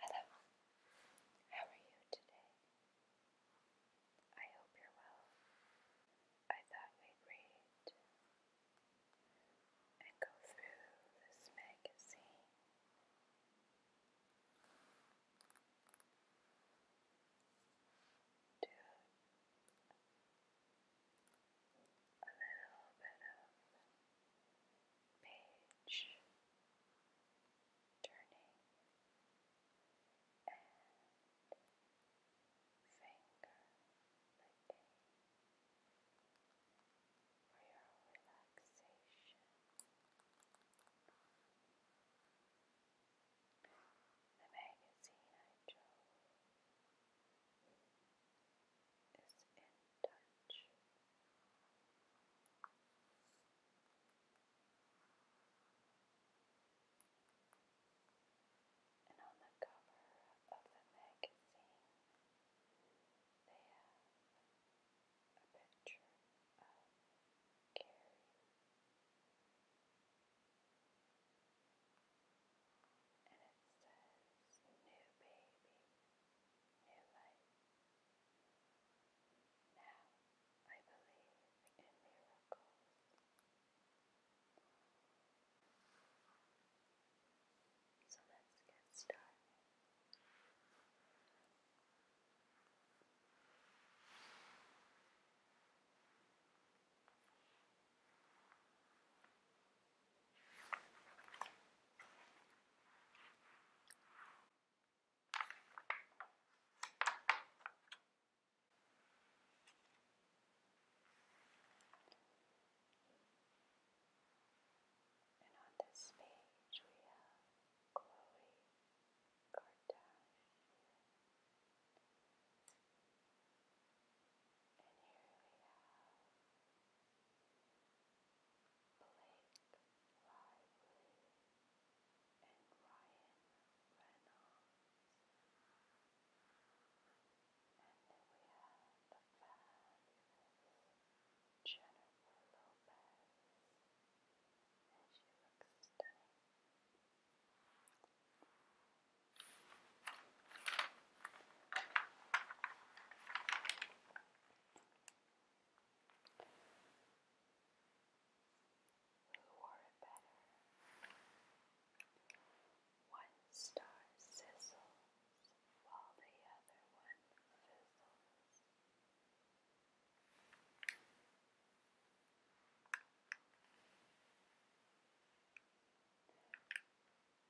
Hello, how are you today? I hope you're well. I thought we'd read and go through this magazine. Do a little bit of page turning and finger licking for your relaxation. The magazine I chose is in touch. And on the cover of the magazine, they a picture of Carrie. And it says, New Baby, new life. Now I believe in miracles. So let's get started. Now, and on this page we have Chloe Kardashian. And here we have Blake Lively, and Ryan Reynolds. And then we have the fabulous Jennifer Lopez, and she looks stunning. Who wore it better? One star sizzles while the other one fizzles. Haley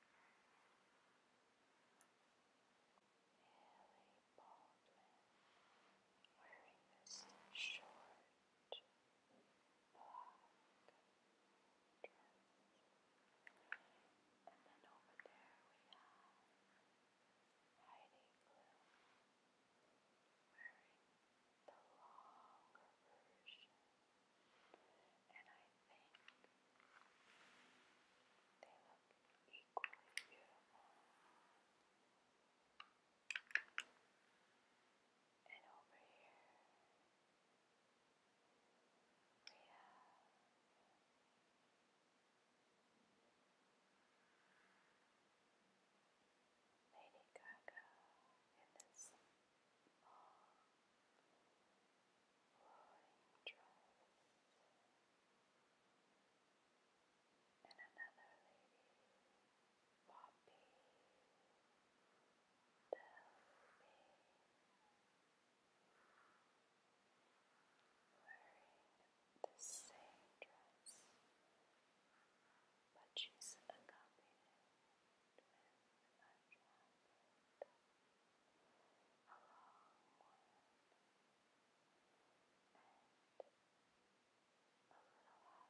Baldwin wearing this short black dress. And then over there we have Heidi Klum wearing the longer version. And I I think they look equally beautiful. And over here we have Lady Gaga in this long flowing dress, and another lady, Poppy Delby, wearing the same dress, but she's accompanied with a and I think they look equally beautiful. The only real difference is the shoes. One chose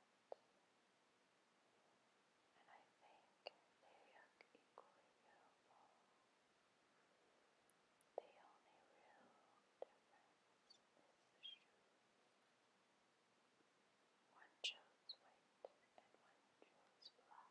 white and one chose black.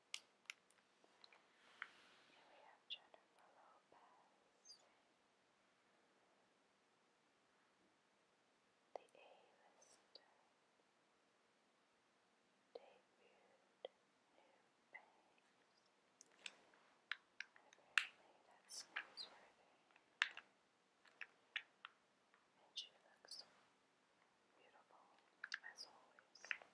Here we have Jennifer Lopez. The A-lister debuted New Bangs. Apparently that's newsworthy. And she looks beautiful as always.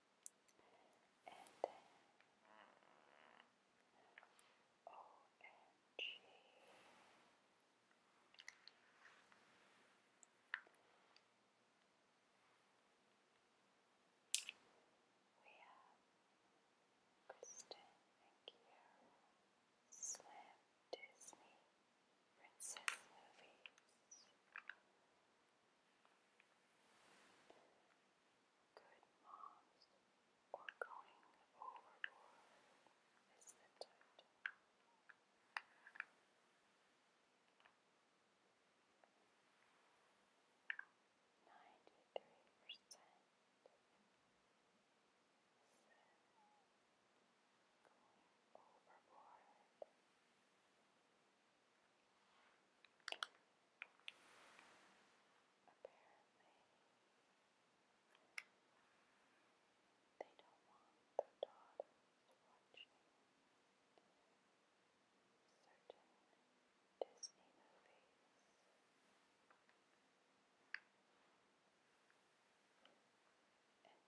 and then We oh, have Kristen and Kiara, Slam Disney Princess Movies good moms or going overboard is the title. Ninety-three percent said going overboard they don't want their daughters watching certain Disney movies. And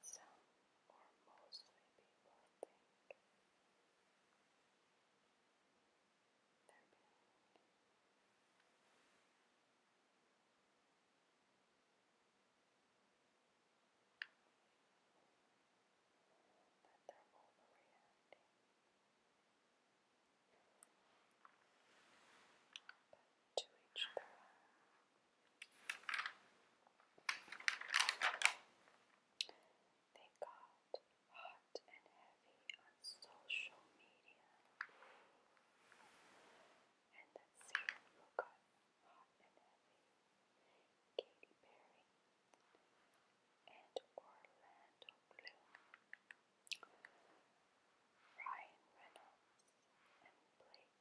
some or mostly people think they're big. But they're overreacting. But to each their own. They got hot and heavy on social media. And that singer got hot and heavy, Katy Perry and Orlando Bloom, Ryan Reynolds and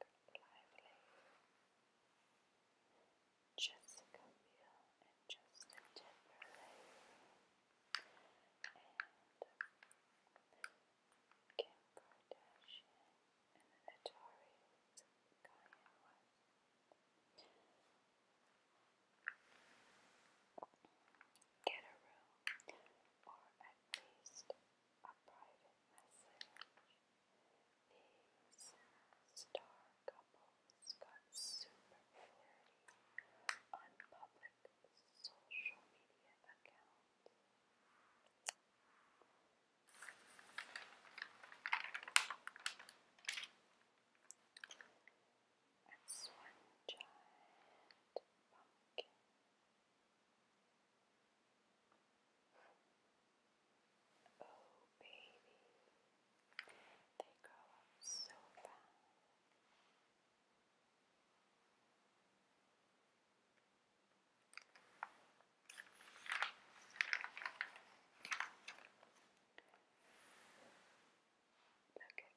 Blake Lively. Jessica Biel and Justin Timberlake and Kim Kardashian and the Notorious Kanye Get a room, or at least a private message. These star couples got super flirty social media accounts. That's one giant pumpkin. Oh, baby, they grow up so fast. Look at me now. Lady Gaga.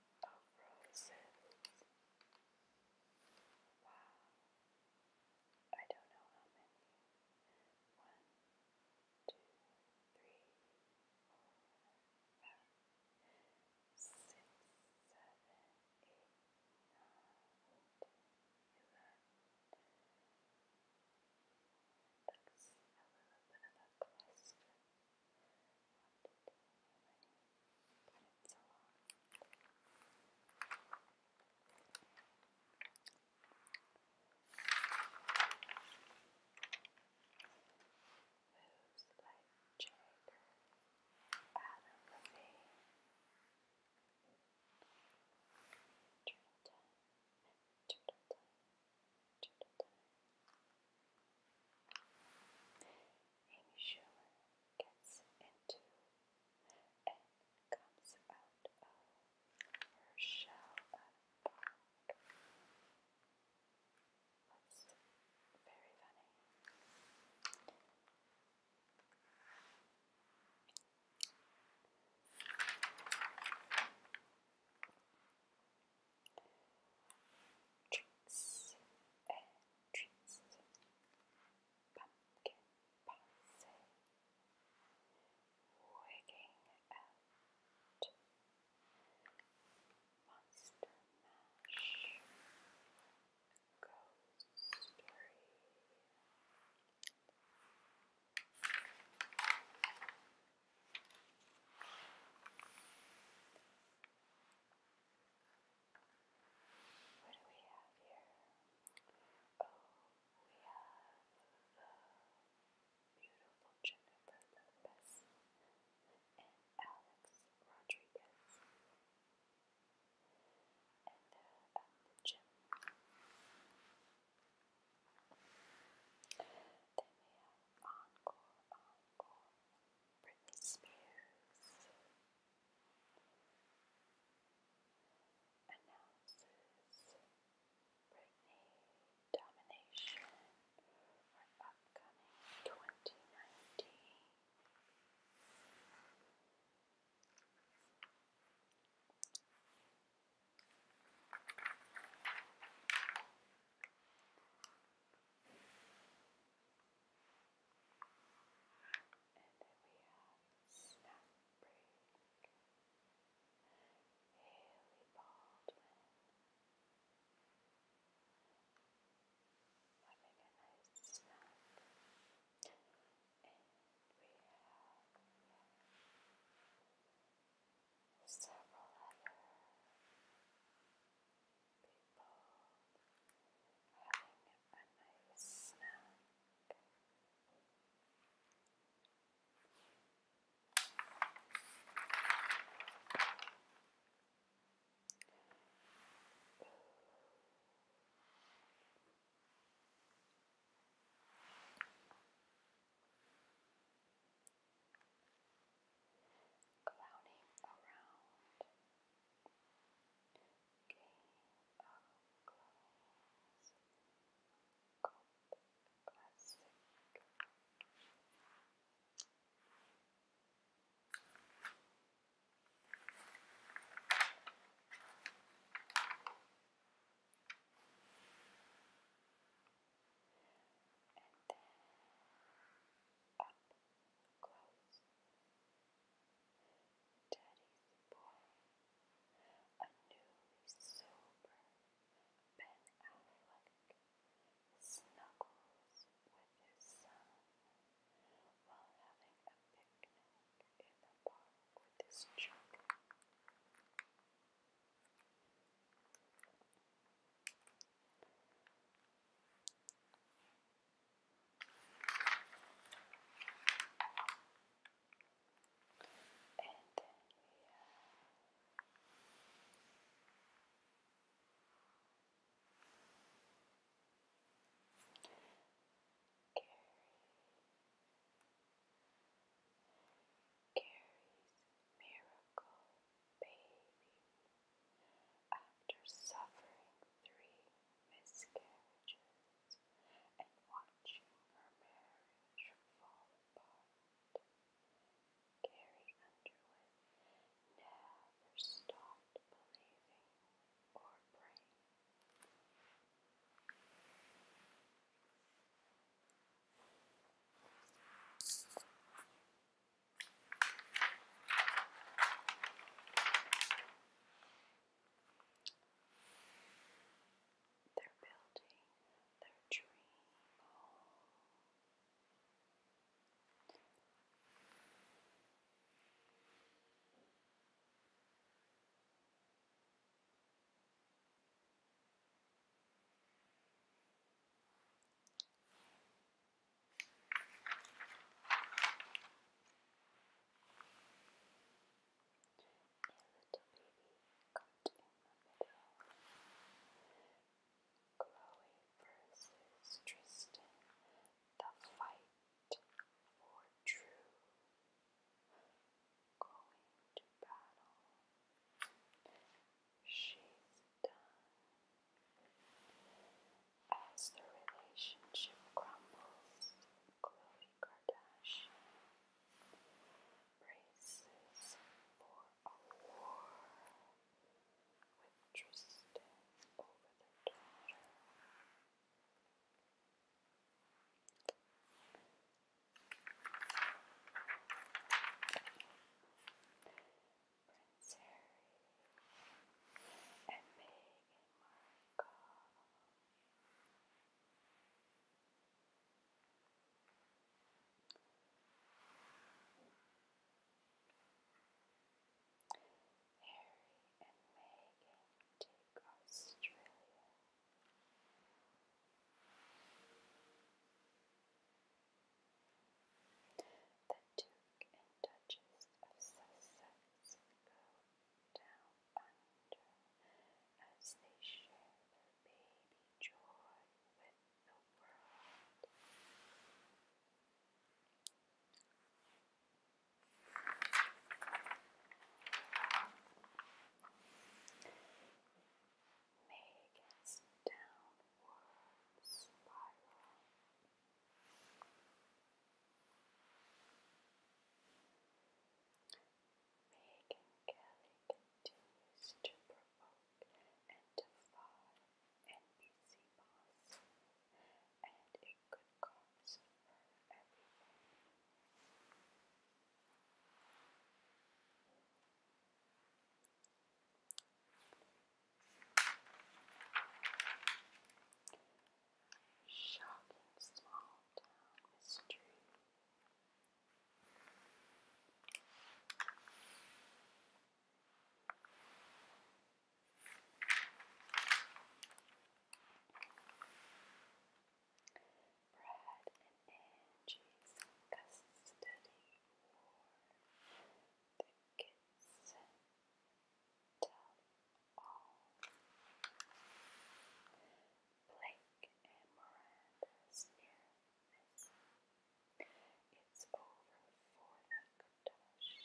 of roses. Wow. I don't know how many. One, two, three, four, five, six, seven, eight, nine, ten, eleven but it's so long. Moves like Jagger, Adam Levine, Turtle Time, Turtle Time, Turtle Time. Amy Schumer gets into and comes out of her shell That's very funny. Tricks and eh, treats. Pumpkin pansy. Wigging out. Monster mash. Ghost story. Thank you. What do we have here? Oh, we have the beautiful Jennifer Lopez and Alex Rodriguez. And they're at the gym. Then we have Encore, Encore, Britney Spears, announces Britney Domination for upcoming 2019. And then we have Snap Break, Haley Baldwin, having a nice snack. And we have yeah, several other people having a nice snack clowning around. Game of clowns. Cult classic. Cult and then up close. Daddy's boy, a newly sober Ben Affleck, snuggles with his son while having a picnic in the park with his children. And then we have Gary. Gary's Miracle baby. After suffering three miscarriages and watching her marriage fall apart, Carrie Underwood never stopped believing or praying. They're building their dream home. They're Chloe versus Tristan, the fight for true. Going to battle she's done. As the relationship crumbles, Khloe Kardashian braces for a war with Tristan over their daughter. Prince Harry and Meghan Markle. Harry and Meghan take Australia. The Duke and Duchess of Sussex go down under as they share baby joy with the world make its downward spiral. Megan Kelly continues to provoke and defy NBC boss, and it could cost her everything. Shocking small town mystery. Brad and Angie's custody war. The kids tell all. Blake and Miranda's near It's over for the Kardashians.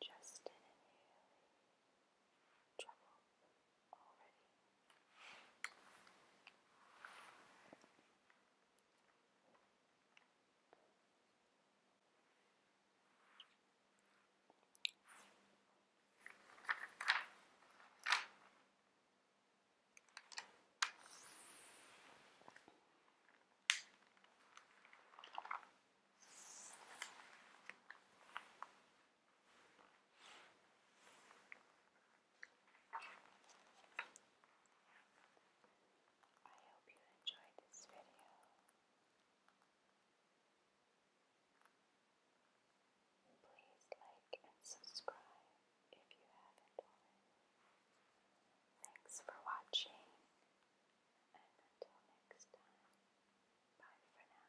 Justin and Haley. Trouble already. Maybe I hope you enjoyed this video. Please like and subscribe if you haven't already. Thanks for watching, and until next time, bye for now.